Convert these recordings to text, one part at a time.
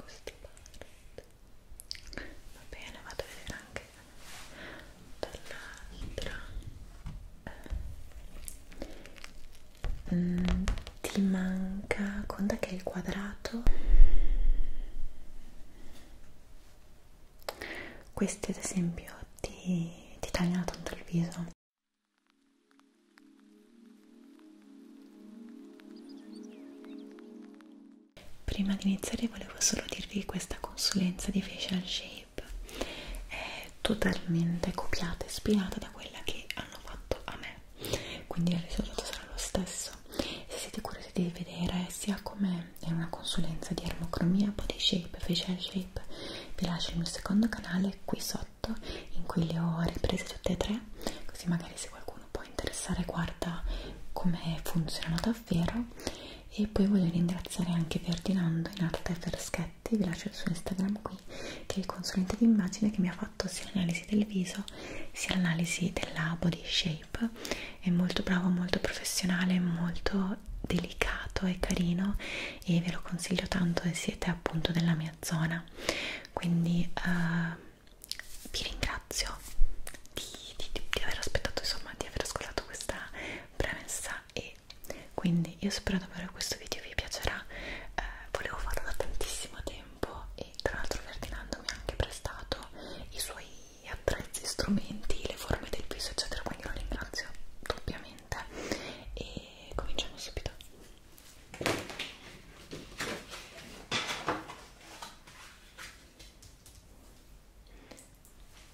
questo parte va bene vado a vedere anche dall'altra eh, mm, ti manca conta che è il quadrato questi ad esempio ti, ti tagliano tanto il viso Prima di iniziare volevo solo dirvi che questa consulenza di facial shape è totalmente copiata e ispirata da quella che hanno fatto a me, quindi il risultato sarà lo stesso. Se siete curiosi di vedere sia come è una consulenza di armocromia, body shape, facial shape, vi lascio il mio secondo canale qui sotto sotto in cui le ho riprese tutte e tre così magari se qualcuno può interessare guarda come funzionano davvero e poi voglio ringraziare anche Ferdinando in arte Ferschetti vi lascio il suo Instagram qui che è il consulente di immagine che mi ha fatto sia l'analisi del viso sia l'analisi della body shape è molto bravo, molto professionale, molto delicato e carino e ve lo consiglio tanto se siete appunto della mia zona quindi eh, vi ringrazio di, di, di aver aspettato insomma di aver ascoltato questa premessa e quindi io spero davvero che questo video vi piacerà eh, volevo farlo da tantissimo tempo e tra l'altro Ferdinando mi ha anche prestato i suoi attrezzi, strumenti, le forme del viso eccetera quindi lo ringrazio doppiamente e cominciamo subito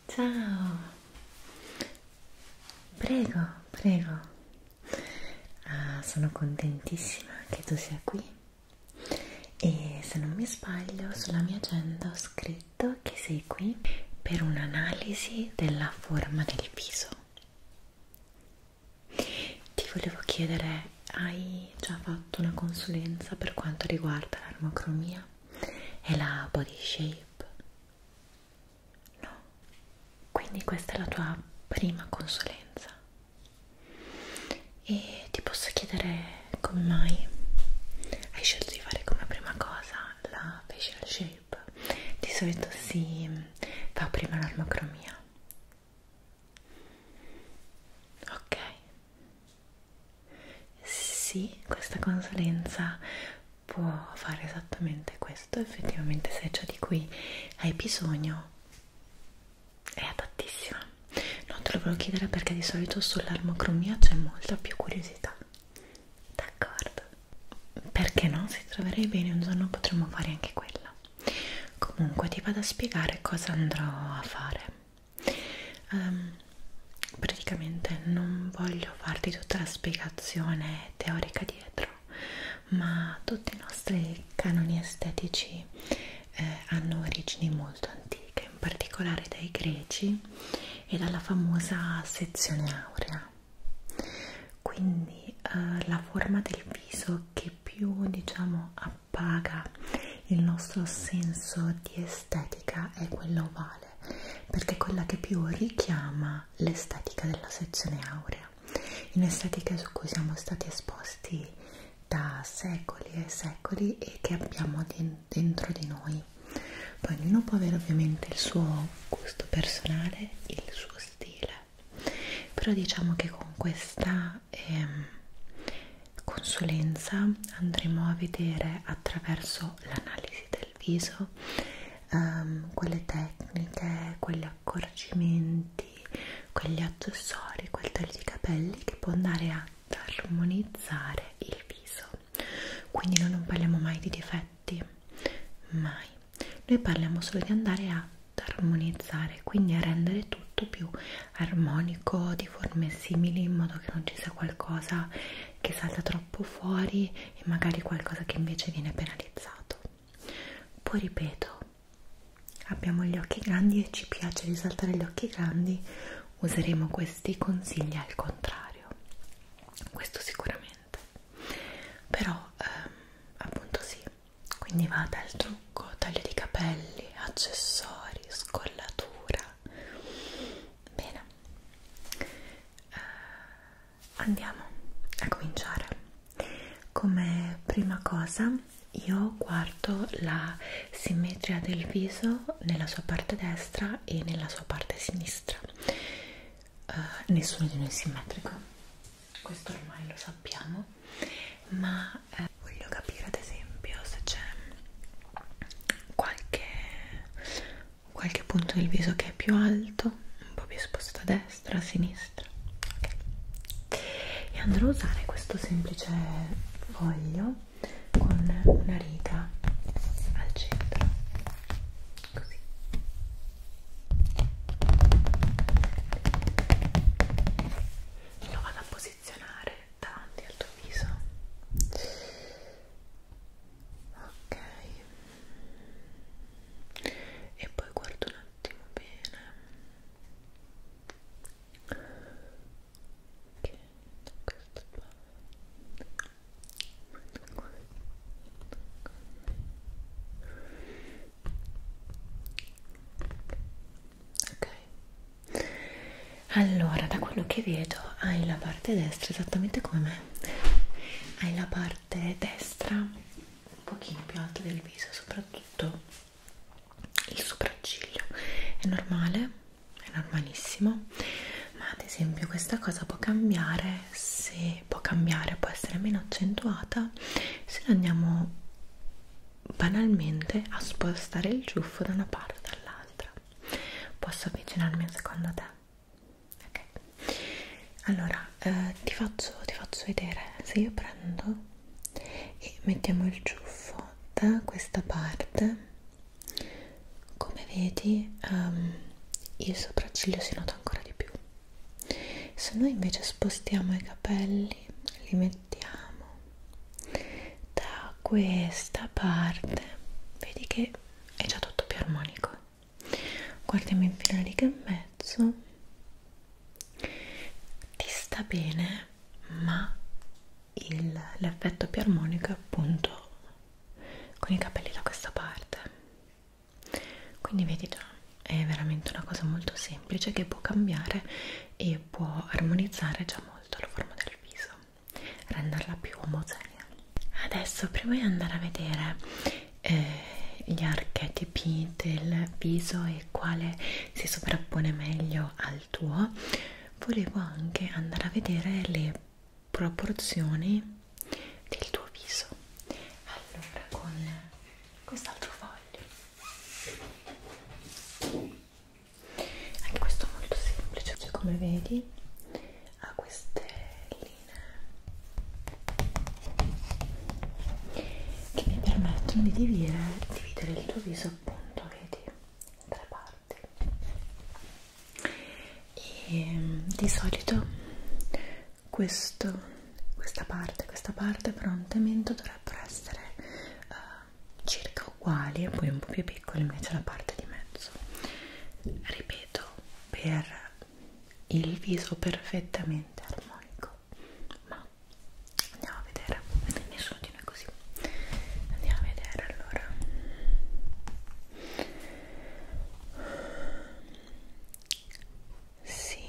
Ciao, prego, prego. Ah, sono contentissima che tu sia qui e se non mi sbaglio sulla mia agenda ho scritto che sei qui per un'analisi della forma del viso. Ti volevo chiedere, hai già fatto una consulenza per quanto riguarda l'armocromia e la body shape? No, quindi questa è la tua prima consulenza. E ti posso chiedere come mai hai scelto di fare come prima cosa la facial shape? Di solito si mm, fa prima l'armocromia ok sì questa consulenza può fare esattamente questo effettivamente se è ciò di cui hai bisogno è adattissima non te lo volevo chiedere perché di solito sull'armocromia c'è molta più curiosità d'accordo perché no si troverei bene un giorno potremmo fare anche quella comunque ti vado a spiegare cosa andrò a fare um, praticamente non voglio farti tutta la spiegazione teorica dietro ma tutti i nostri canoni estetici eh, hanno origini molto antiche in particolare dai greci e dalla famosa sezione aurea quindi eh, la forma del viso che più diciamo appaga il nostro senso di estetica è quella ovale perché è quella che più richiama l'estetica della sezione aurea un'estetica su cui siamo stati esposti da secoli e secoli e che abbiamo dentro di noi poi ognuno può avere ovviamente il suo gusto personale il suo stile però diciamo che con questa eh, consulenza andremo a vedere attraverso l'analisi del viso ehm, quelle tecniche, quegli accorgimenti, quegli accessori, quel taglio di capelli che può andare a armonizzare il viso quindi noi non parliamo mai di difetti mai noi parliamo solo di andare ad armonizzare, quindi a rendere tutto più armonico, di forme simili, in modo che non ci sia qualcosa che salta troppo fuori e magari qualcosa che invece viene penalizzato. Poi ripeto, abbiamo gli occhi grandi e ci piace risaltare gli occhi grandi, useremo questi consigli al contrario. Questo sicuramente, però ehm, appunto sì, quindi va dal trucco, taglio di capelli, accessori, scollatura bene eh, andiamo a cominciare come prima cosa io guardo la simmetria del viso nella sua parte destra e nella sua parte sinistra eh, nessuno di noi è simmetrico questo ormai lo sappiamo, ma eh, voglio capire ad esempio se c'è qualche, qualche punto del viso che è più alto, un po' più spostato a destra, a sinistra. Okay. E andrò a usare questo semplice foglio con una riga al centro, così lo vado a posizionare davanti al tuo viso ok e poi guardo un attimo bene ok questo qua ok ok allora da quello che vedo hai la parte destra esattamente come me hai la parte destra un pochino più alta del viso soprattutto il sopracciglio è normale è normalissimo ma ad esempio questa cosa può cambiare se può cambiare può essere meno accentuata cosa se andiamo banalmente a spostare il ciuffo da una parte all'altra posso avvicinarmi a secondo te? ok allora eh, ti, faccio, ti faccio vedere se io prendo e mettiamo il ciuffo da questa parte come vedi um, il sopracciglio si nota ancora di più se noi invece spostiamo i capelli li mettiamo da questa parte vedi che è già tutto più armonico guardiamo infine la riga in mezzo ti sta bene ma l'effetto più armonico è appunto con i capelli da questa parte quindi vedi già è veramente una cosa molto semplice che può cambiare e può armonizzare già molto la forma del viso renderla più omogenea adesso prima di andare a vedere eh, gli archetipi del viso e quale si sovrappone meglio al tuo volevo anche andare a vedere le proporzioni del tuo viso allora con quest'altro foglio anche questo è molto semplice cioè, come vedi ha queste linee che mi permettono di dividere, dividere il tuo viso appunto vedi in tre parti e di solito questo, questa parte questa parte prontamente dovrebbero essere uh, circa uguali e poi un po' più piccole invece la parte di mezzo ripeto per il viso perfettamente armonico ma andiamo a vedere nessuno di noi così andiamo a vedere allora sì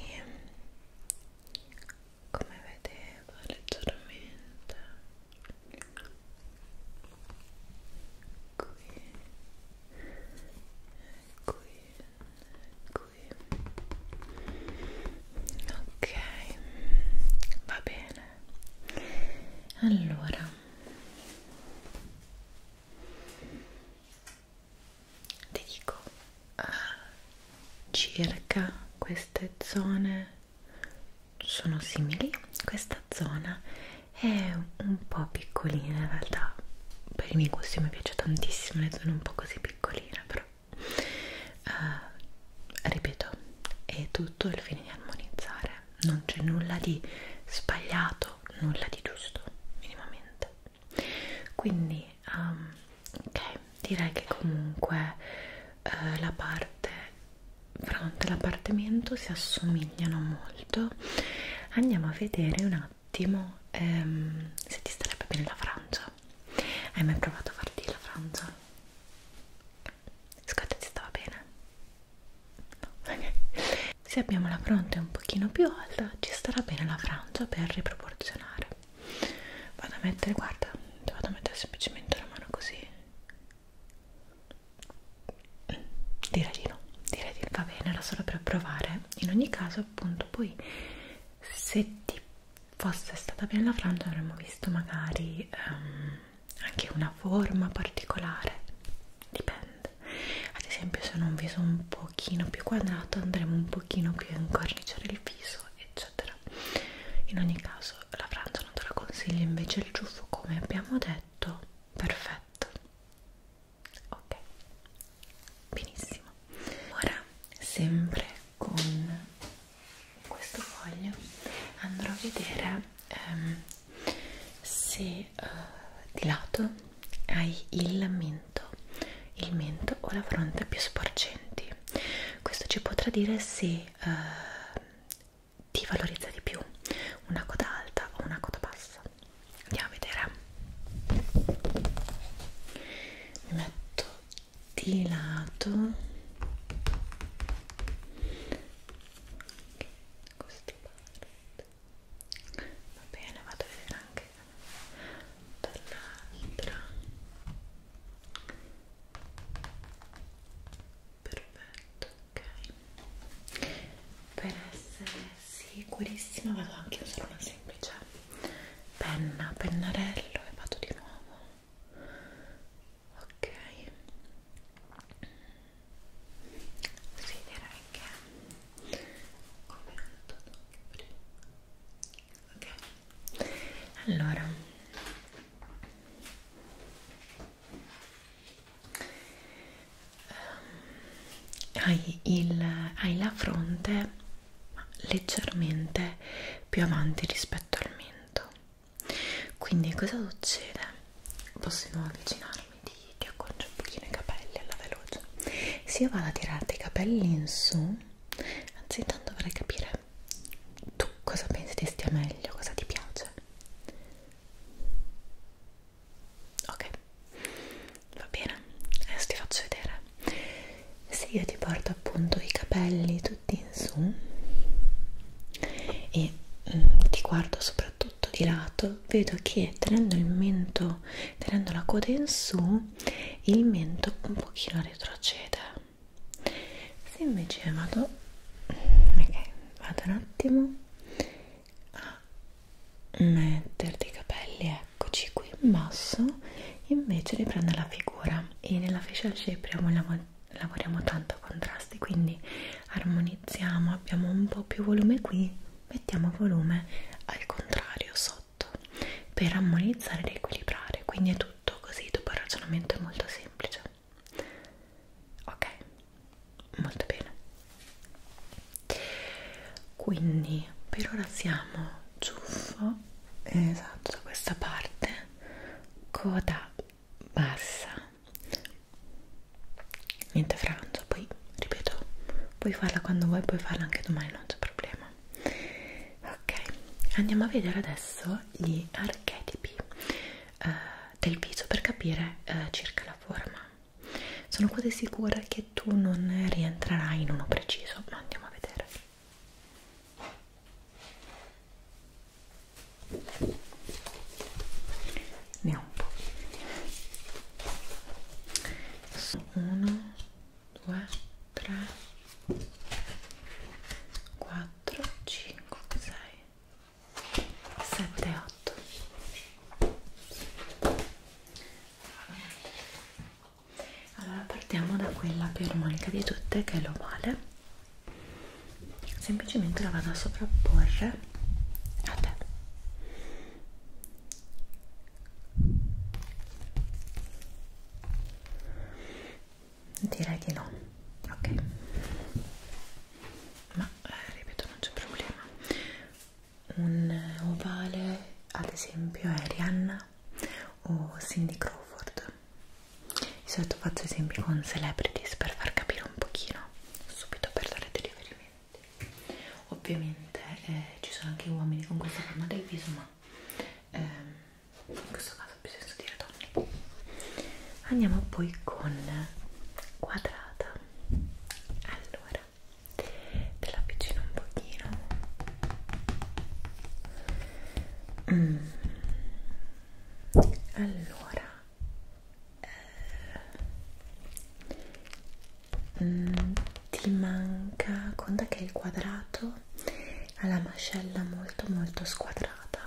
come vedevo leggermente qui qui qui ok va bene allora ti dico eh, circa queste zone sono simili questa zona è un po' piccolina in realtà per i miei gusti mi piace tantissimo le zone un po' così piccoline però uh, ripeto è tutto il fine di armonizzare non c'è nulla di sbagliato nulla di giusto minimamente quindi um, ok direi che comunque eh, la parte fronte e l'appartamento si assomigliano molto andiamo a vedere un attimo ehm, se ti starebbe bene la frangia hai mai provato a farti la frangia? scotta ti stava bene? No. se abbiamo la fronte un pochino più alta ci starà bene la frangia per riproporzionare vado a mettere guarda ti vado a mettere semplicemente la mano così direi di no direi di va bene era solo per provare in ogni caso appunto poi se ti fosse stata bene la frangia avremmo visto magari um, anche una forma particolare dipende ad esempio se non un viso un pochino più quadrato andremo un pochino più a incorniciare il viso eccetera in ogni caso la frangia non te la consiglio invece il ciuffo come abbiamo detto perfetto ok benissimo ora sempre con questo foglio andrò a vedere ehm, se uh, di lato hai il min mento, il mento o la fronte più sporgenti. Questo ci potrà dire se eh, ti valorizza di più una coda alta o una coda bassa. Andiamo a vedere. Mi metto di lato. Okay, questa parte. Va bene, vado a vedere anche dall'altra perfetto ok per essere sicurissima vado anche a usare una semplice penna pennarello e vado di nuovo ok sì direi che come ho detto anche prima ok allora ehm, hai, il, hai la fronte leggermente più avanti rispetto al mento quindi cosa succede? possiamo avvicinarmi ti, ti accorcio un pochino i capelli alla veloce se io vado a tirarti i capelli in su anzi intanto vorrei capire tu cosa pensi ti stia meglio, cosa ti piace ok va bene, adesso ti faccio vedere se io ti porto appunto i capelli tutti in su e mm, ti guardo soprattutto di lato vedo che tenendo il mento tenendo la coda in su il mento un pochino retrocede se invece vado ok vado un attimo a metterti i capelli eccoci qui in basso invece riprende la figura e nella facial shape lav lavoriamo tanto a contrasti quindi armonizziamo abbiamo un po' più volume qui mettiamo volume al contrario sotto sotto per armonizzare ed equilibrare quindi è tutto così dopo il ragionamento è molto semplice ok molto bene quindi per ora siamo ciuffo esatto da questa parte coda bassa niente frangia poi ripeto puoi farla quando vuoi puoi farla anche domani non c'è problema ok andiamo a vedere adesso gli archetipi eh, del viso per capire eh, circa la forma sono quasi sicura che tu non rientrerai in uno preciso ma andiamo a vedere ne ho un po' 1 2, 3, 4, 5, 6, 7, 8. Allora partiamo da quella più armonica di tutte che è l'ovale. Semplicemente la vado a sovrapporre a te direi di no ok ma eh, ripeto non c'è problema un eh, ovale ad esempio è Rihanna o Cindy Crawford di solito faccio esempi con celebrities per far capire un pochino subito per dare dei riferimenti ovviamente eh, ci sono anche uomini con questa forma del viso ma eh, in questo caso bisogna dire donne andiamo poi con quadrata allora te la avvicino un pochino mm. allora eh, mm, ti manca conta che il quadrato ha la mascella molto molto squadrata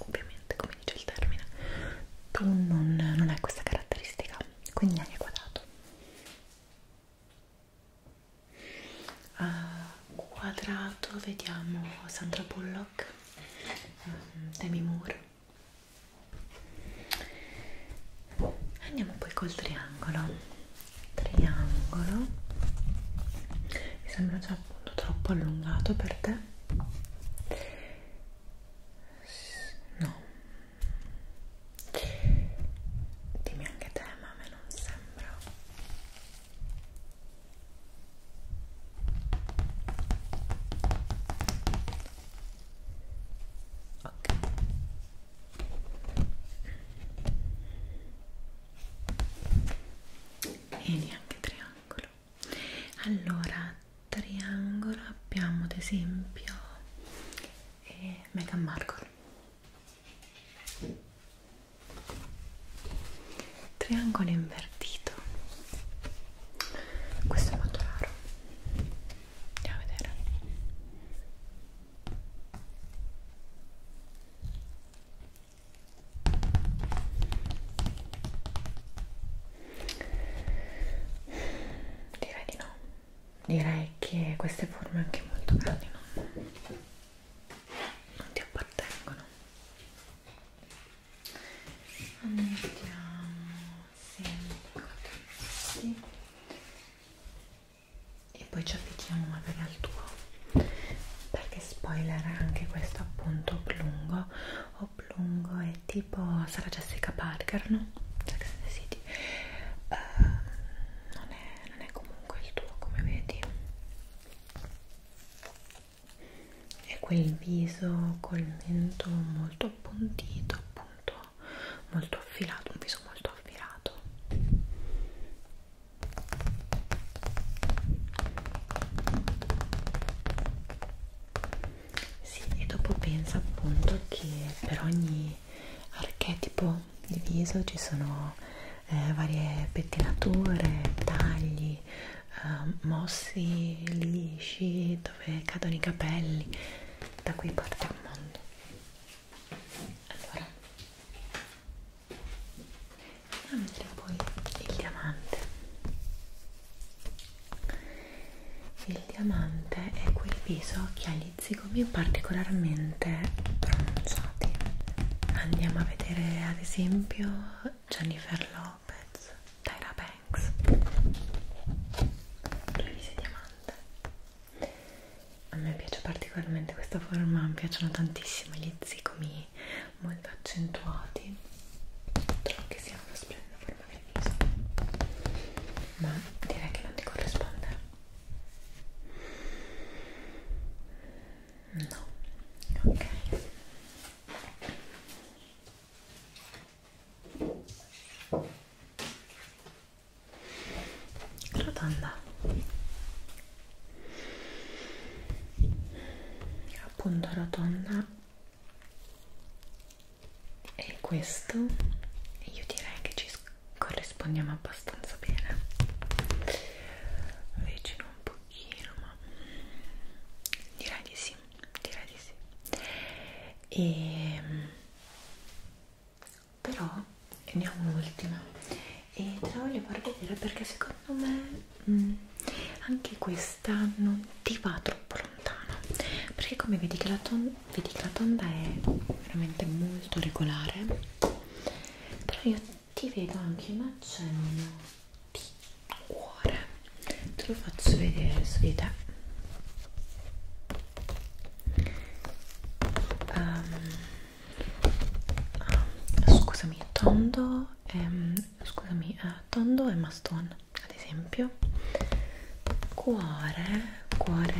ovviamente come dice il termine tu non, non hai questa caratteristica quindi hai quadrato uh, quadrato vediamo Sandra Bullock um, Demi Moore andiamo poi col triangolo triangolo mi sembra già appunto troppo allungato per te no dimmi anche te ma a me non sembra ok e neanche triangolo allora triangolo abbiamo ad esempio eh, Meghan Markle triangolo invertito questo è molto raro andiamo a vedere Direi di no, direi che queste forme anche molto grandi no? non ti appartengono. Andiamo sempre così e poi ci avviciniamo magari al tuo perché spoiler anche questo appunto Oblungo Oblungo oh, è tipo sarà Jessica Parker no? Jackson City uh, non, è, non è comunque il tuo come vedi è quel viso col mento molto appuntito appunto molto affilato un viso molto affilato sì, e dopo pensa appunto che per ogni archetipo di viso ci sono eh, varie pettinature, tagli, eh, mossi lisci, dove cadono i capelli, da qui parte al mondo. Allora, a mettere poi il diamante il diamante è quel viso che ha gli zigomi particolarmente pronunciati andiamo a vedere ad esempio Jennifer Lopez Tyra Banks due visi diamante a me piace particolarmente questa forma, mi piacciono tantissimo gli zigomi molto accentuati trovo che sia una splendida forma del viso ma direi che non ti corrisponde no, ok rotonda appunto rotonda e questo io direi che ci corrispondiamo abbastanza bene vicino un pochino ma direi di sì direi di sì e ehm, però ne ho un'ultima e te la voglio far vedere perché secondo me mh, mm, anche questa non ti va troppo lontano perché come vedi che la, ton vedi che la tonda è veramente molto regolare però io ti vedo anche un accenno di cuore te lo faccio vedere su di te Um, ah, scusami tondo e, ehm, scusami eh, tondo e mastone ad esempio cuore cuore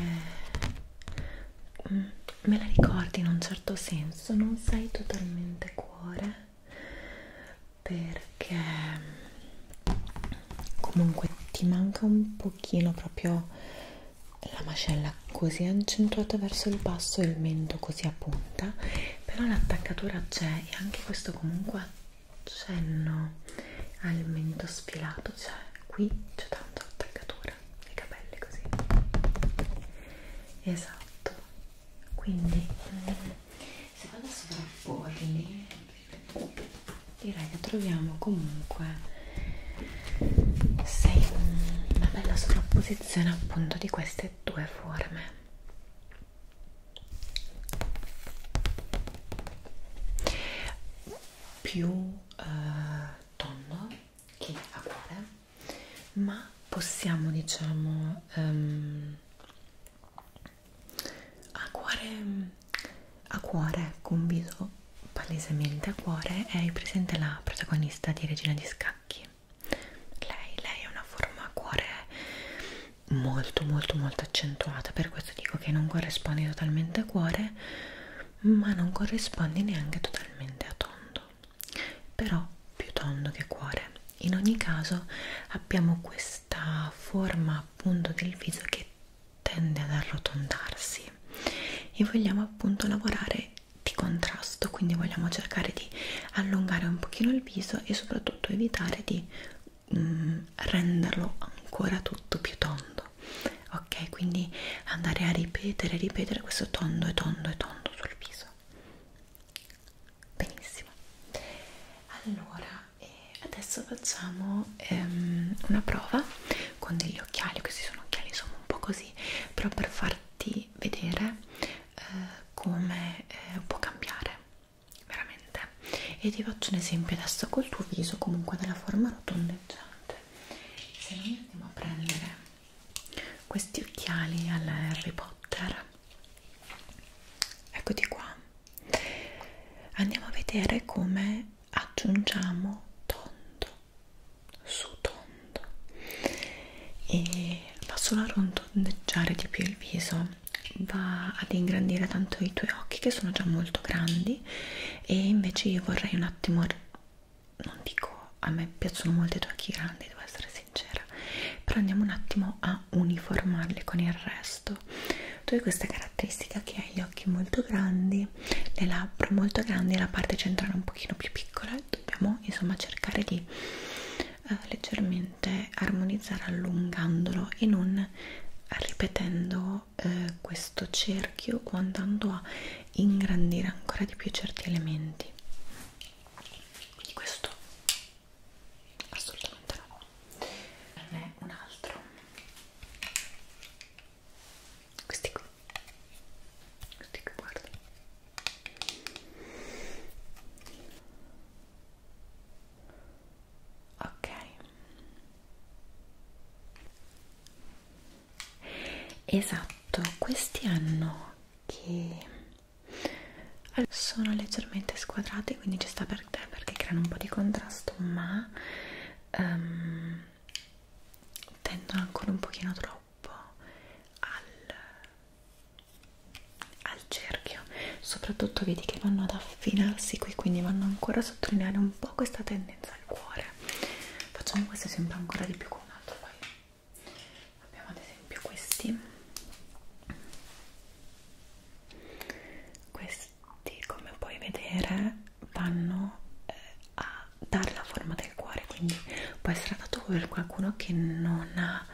mm, me la ricordi in un certo senso non sei totalmente cuore perché mm, comunque ti manca un pochino proprio la mascella così accentuata verso il basso e il mento così a punta però l'attaccatura c'è e anche questo comunque accenno al mento sfilato cioè qui c'è tanto attaccatura i capelli così esatto quindi mm, se vado a sovrapporli direi che troviamo comunque sei una bella sovrapposizione appunto di queste due forme più eh, tondo che a cuore ma possiamo diciamo ehm, a cuore a cuore con viso palesemente a cuore è presente la protagonista di Regina di Scacchi. Lei, lei ha una forma a cuore molto molto molto accentuata, per questo dico che non corrisponde totalmente a cuore, ma non corrisponde neanche totalmente a tondo. Però più tondo che cuore. In ogni caso abbiamo questa forma appunto del viso che tende ad arrotondarsi e vogliamo appunto lavorare è di contrasto quindi vogliamo cercare di allungare un pochino il viso e soprattutto evitare di mm, renderlo ancora tutto più tondo ok quindi andare a ripetere ripetere questo tondo e tondo e tondo sul viso benissimo allora e adesso facciamo ehm, una prova con degli occhiali questi sono occhiali insomma un po' così però per far fatti vedere eh, come eh, può cambiare veramente e ti faccio un esempio adesso col tuo viso comunque della forma rotondeggiante se noi andiamo a prendere questi occhiali alla Harry Potter eccoti qua andiamo a vedere come aggiungiamo tondo su tondo e va solo a rotondeggiare di più il viso va ad ingrandire tanto i tuoi occhi che sono già molto grandi e invece io vorrei un attimo non dico a me piacciono molto i tuoi occhi grandi devo essere sincera però andiamo un attimo a uniformarli con il resto tu hai questa caratteristica che hai gli occhi molto grandi le labbra molto grandi e la parte centrale un pochino più piccola dobbiamo insomma cercare di eh, leggermente armonizzare allungandolo e non ripetendo eh, questo cerchio o andando a ingrandire ancora di più certi elementi quindi questo assolutamente no ne un altro questi qui questi qui guarda ok esatto questi hanno che sono leggermente squadrati quindi ci sta per te perché creano un po' di contrasto ma um, tendono ancora un pochino troppo troppo al, al cerchio soprattutto vedi che vanno ad affinarsi qui quindi vanno ancora a sottolineare un po' questa tendenza al cuore facciamo questo esempio ancora di più con un altro poi abbiamo ad esempio questi questi come puoi vedere vanno eh, a dare la forma del cuore quindi può essere adatto per qualcuno che non ha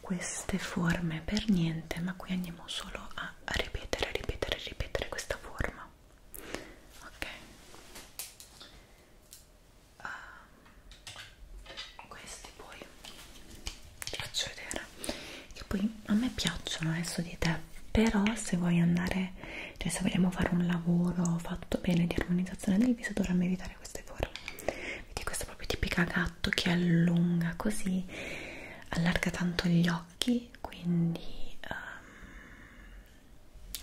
queste forme per niente ma qui andiamo solo a ripetere ripetere ripetere questa forma ok uh, questi poi ti faccio vedere che poi a me piacciono adesso di te però se vuoi andare cioè se vogliamo fare un lavoro fatto bene di armonizzazione del viso dovremmo evitare queste forme vedi questa proprio tipica gatto che allunga così allarga tanto gli occhi quindi um,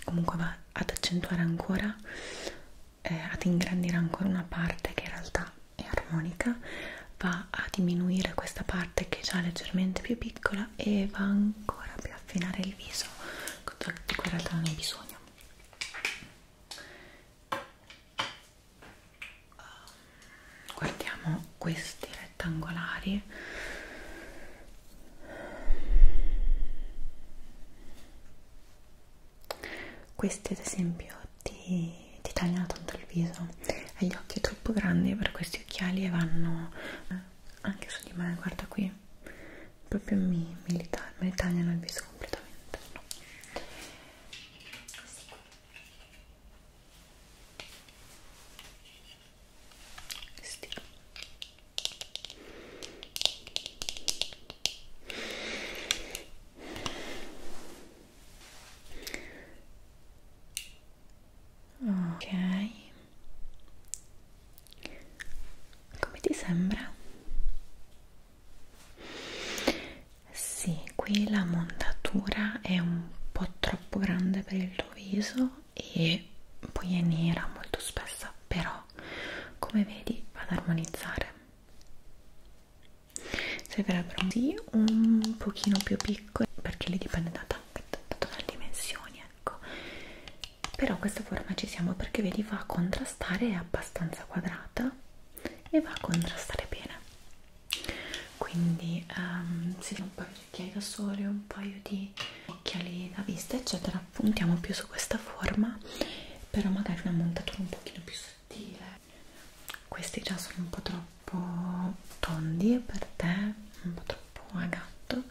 comunque va ad accentuare ancora eh, ad ingrandire ancora una parte che in realtà è armonica va a diminuire questa parte che è già leggermente più piccola e va ancora più a affinare il viso di cui in realtà non hai bisogno guardiamo questi rettangolari questi ad esempio ti, ti tagliano tanto il viso hai gli occhi troppo grandi per questi occhiali e vanno eh, anche su di me guarda qui proprio mi, mi, mi tagliano il viso completamente no. sì. Sì. ok come ti sembra? Sì, qui la montatura è un po' troppo grande per il tuo viso e poi è nera molto spessa, però come vedi va ad armonizzare. Servirebbero sì, un pochino più piccole perché lì dipende da, da, da, dalle dimensioni, ecco però questa forma ci siamo perché vedi va a contrastare è abbastanza quadrata e va a contrastare bene quindi um, ehm, se un paio di occhiali da sole un paio di occhiali da vista eccetera puntiamo più su questa forma però magari una montatura un pochino più sottile questi già sono un po' troppo tondi per te un po' troppo a gatto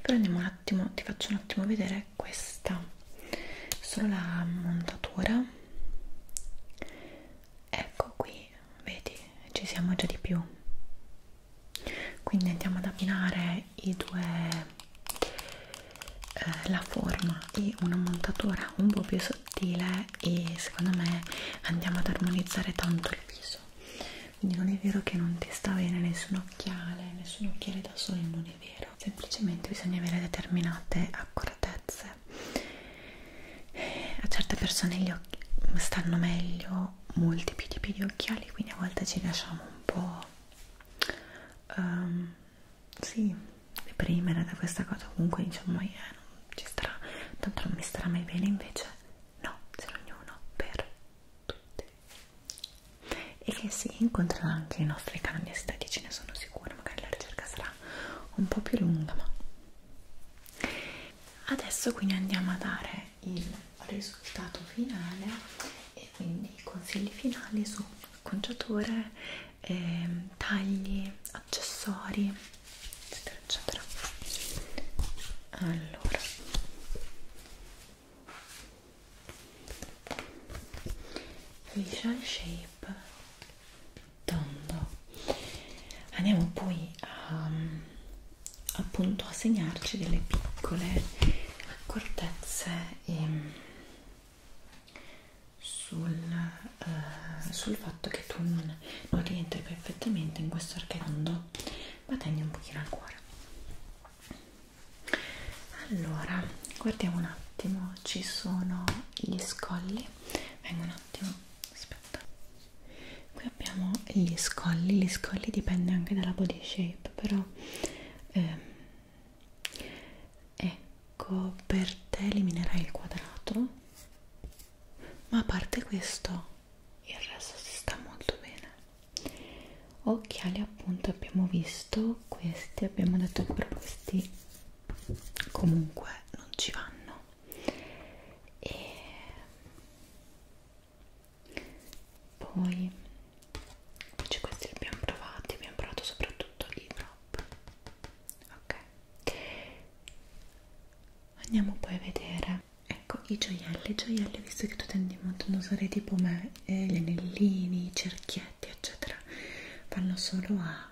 però andiamo un attimo ti faccio un attimo vedere è questa solo la montatura ecco qui vedi ci siamo già di più quindi andiamo ad abbinare i due eh, la forma e una montatura un po' più sottile e secondo me andiamo ad armonizzare tanto il viso quindi non è vero che non ti sta bene nessun occhiale nessun occhiale da sole non è vero, semplicemente bisogna avere determinate accuratezze. A certe persone gli occhi stanno meglio molti più tipi di occhiali, quindi a volte ci lasciamo un po' um, sì, deprimere da questa cosa. Comunque diciamo, eh, non ci starà, tanto non mi starà mai bene invece. No, se ognuno per tutti e che si incontrano anche i nostri cani estetici, ne sono sicura, magari la ricerca sarà un po' più lunga. Ma adesso quindi andiamo a dare il risultato finale e quindi i consigli finali su acconciature, eh, tagli, accessori, eccetera, eccetera. Allora, facial shape tondo andiamo poi a appunto a segnarci delle piccole accortezze ehm, sul, eh, sul fatto che tu non, non rientri perfettamente in questo archetondo ma tagli un pochino al cuore allora guardiamo un attimo ci sono gli scolli vengo un attimo aspetta qui abbiamo gli scolli gli scolli dipende anche dalla body shape però ehm, ecco per te eliminerai il quadrato ma a parte questo il resto si sta molto bene occhiali appunto abbiamo visto questi abbiamo detto che per questi comunque non ci vanno e poi invece questi li abbiamo provati abbiamo provato soprattutto i prop ok andiamo poi a vedere ecco i gioielli i gioielli visto che tu tendi molto ad usare tipo me eh, gli anellini i cerchietti fumetti eccetera vanno solo a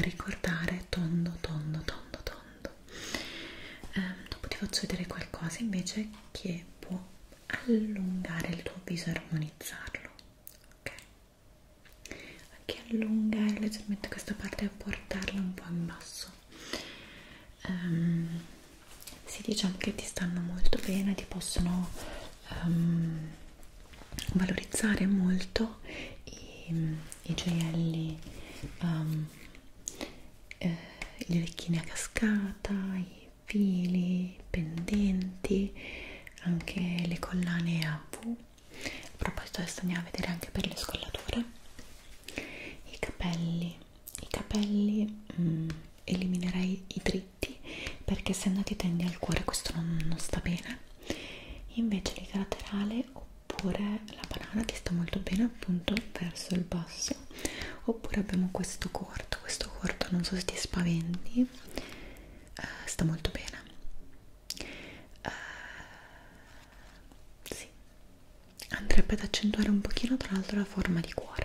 ricordare tondo tondo tondo tondo eh, dopo ti faccio vedere qualcosa invece che può allungare il tuo viso e armonizzarlo ok anche allungare leggermente questa parte e portarla un po' in basso ehm, si dice anche che ti stanno molto bene, ti possono um, valorizzare molto i, i gioielli, um, eh, le orecchine a cascata, i fili, i pendenti, anche le collane a V. A proposito, adesso andiamo a vedere anche per le scollature. I capelli, i capelli mm, eliminerei i drizzi stretti perché essendo che tendi al cuore questo non, non sta bene invece il laterale oppure la banana ti sta molto bene appunto verso il basso oppure abbiamo questo corto questo corto non so se ti spaventi eh, sta molto bene eh, sì andrebbe ad accentuare un pochino tra l'altro la forma di cuore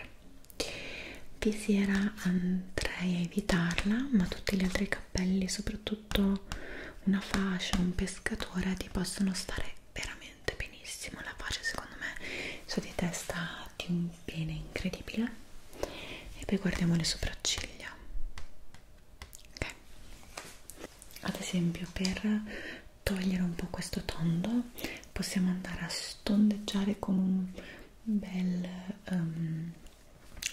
Visiera andrei a evitarla, ma tutti gli altri cappelli, soprattutto una fascia, un pescatore, ti possono stare veramente benissimo. La fascia secondo me su di testa di un bene incredibile. E poi guardiamo le sopracciglia. Ok. Ad esempio per togliere un po' questo tondo possiamo andare a stondeggiare con un bel um,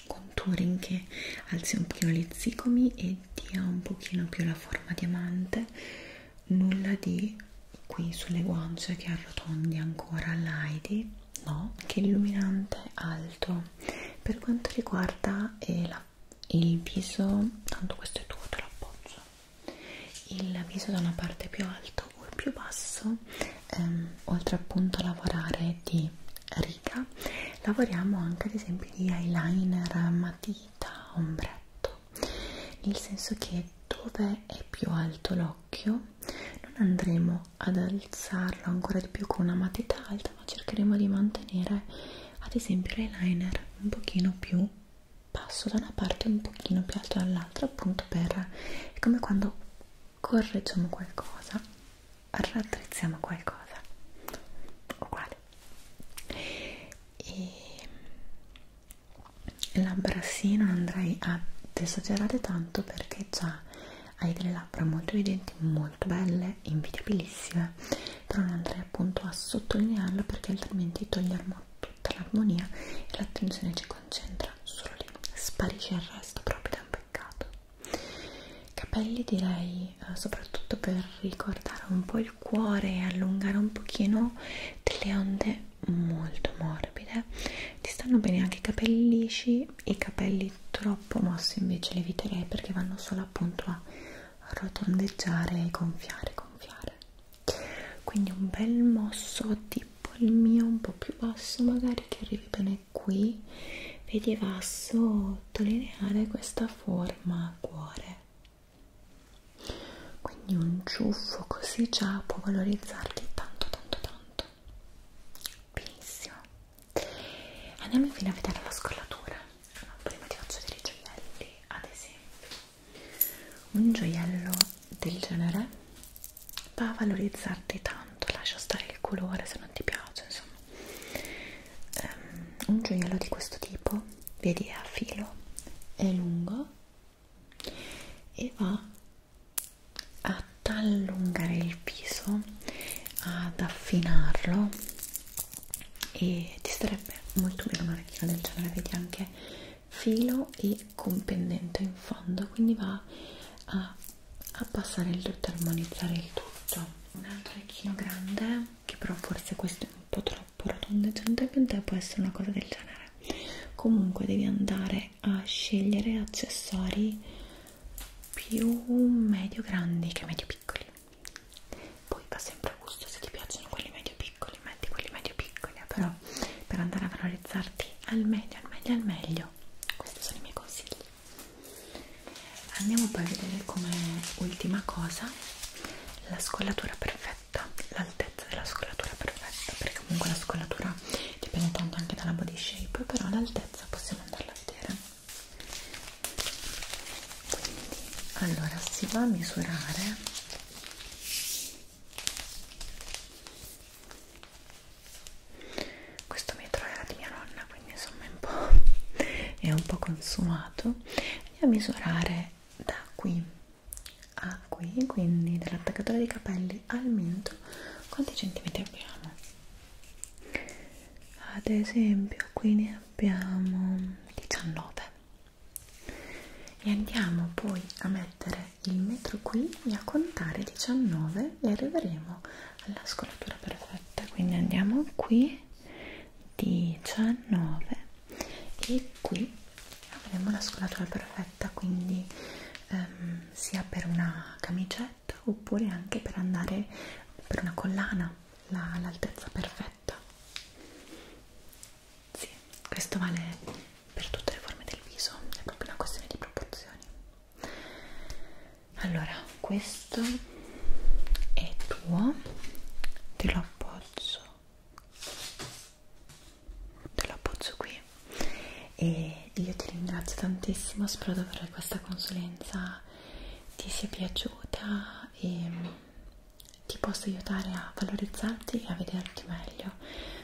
contouring che alzi un pochino gli zigomi e dia un pochino più la forma diamante nulla di qui sulle guance che arrotondi ancora l'Heidi no, che illuminante alto per quanto riguarda eh, la, il viso tanto questo è tuo, te lo appoggio il viso da una parte più alto o il più basso ehm, oltre appunto a lavorare di riga lavoriamo anche ad esempio di eyeliner matita ombretto nel senso che dove è più alto l'occhio non andremo ad alzarlo ancora di più con una matita alta ma cercheremo di mantenere ad esempio l'eyeliner un pochino più basso da una parte e un pochino più alto dall'altra appunto per è come quando correggiamo qualcosa, raddrizziamo qualcosa, uguale. E labbra sì, non andrei ad esagerare tanto perché già hai delle labbra molto evidenti, molto belle, invidiabilissime, però non andrei appunto a sottolinearlo perché altrimenti togliamo tutto tutta l'armonia e l'attenzione ci concentra solo lì, sparisce il resto proprio da un peccato. Capelli direi eh, soprattutto per ricordare un po' il cuore e allungare un pochino delle onde molto morbide. Ti stanno bene anche i capelli lisci, i capelli troppo mossi invece li eviterei perché vanno solo appunto a rotondeggiare e gonfiare, gonfiare. Quindi un bel mosso di poi il mio un po' più basso magari che arrivi bene qui vedi va a sottolineare questa forma cuore quindi un ciuffo così già può valorizzarti tanto tanto tanto benissimo andiamo infine a vedere la scollatura allora, prima ti faccio vedere i gioielli ad esempio un gioiello del genere va a valorizzarti tanto lascia stare il colore se non ti piace insomma um, un gioiello di questo tipo vedi è a filo è lungo e va ad allungare il viso ad affinarlo e ti starebbe molto bene una orecchina del genere vedi anche filo e con pendente in fondo quindi va a abbassare il tutto armonizzare il tutto un altro orecchino grande che però forse questo è un po' troppo rotondeggiante per te può essere una cosa del genere comunque devi andare a scegliere accessori più medio grandi che medio piccoli poi va sempre a gusto se ti piacciono quelli medio piccoli metti quelli medio piccoli quella però per andare a valorizzarti al meglio, al meglio, al meglio questi sono i miei consigli andiamo poi a vedere come ultima cosa la scollatura perfetta l'altezza della scollatura perfetta perché comunque la scollatura dipende tanto anche dalla body shape però l'altezza possiamo andarla a vedere quindi allora si va a misurare questo metro era di mia nonna quindi insomma è un po', è un po consumato andiamo a misurare da qui a qui quindi dall'attaccatore dei capelli al mento quanti centimetri abbiamo ad esempio qui ne abbiamo 19 e andiamo poi a mettere il metro qui e a contare 19 e arriveremo alla scolatura perfetta quindi andiamo qui 19 e qui avremo la scolatura perfetta quindi ehm, sia per una camicetta oppure anche per andare per una collana l'altezza la, perfetta sì, questo vale per tutte le forme del viso, è proprio una questione di proporzioni. Allora, questo è tuo, te lo appogcio, te lo appogcio qui e io ti ringrazio tantissimo, spero davvero che questa consulenza ti sia piaciuta e ti possa aiutare a valorizzarti e a vederti meglio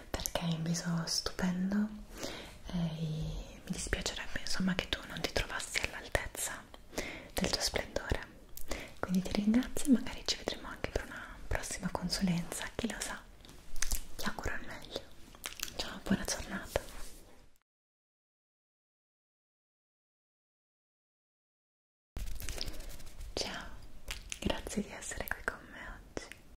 perché hai un viso stupendo e mi dispiacerebbe insomma che tu non ti trovassi all'altezza del tuo splendore quindi ti ringrazio e magari ci vedremo anche per una prossima consulenza chi lo sa ti auguro il meglio ciao buona giornata ciao grazie di essere qui con me oggi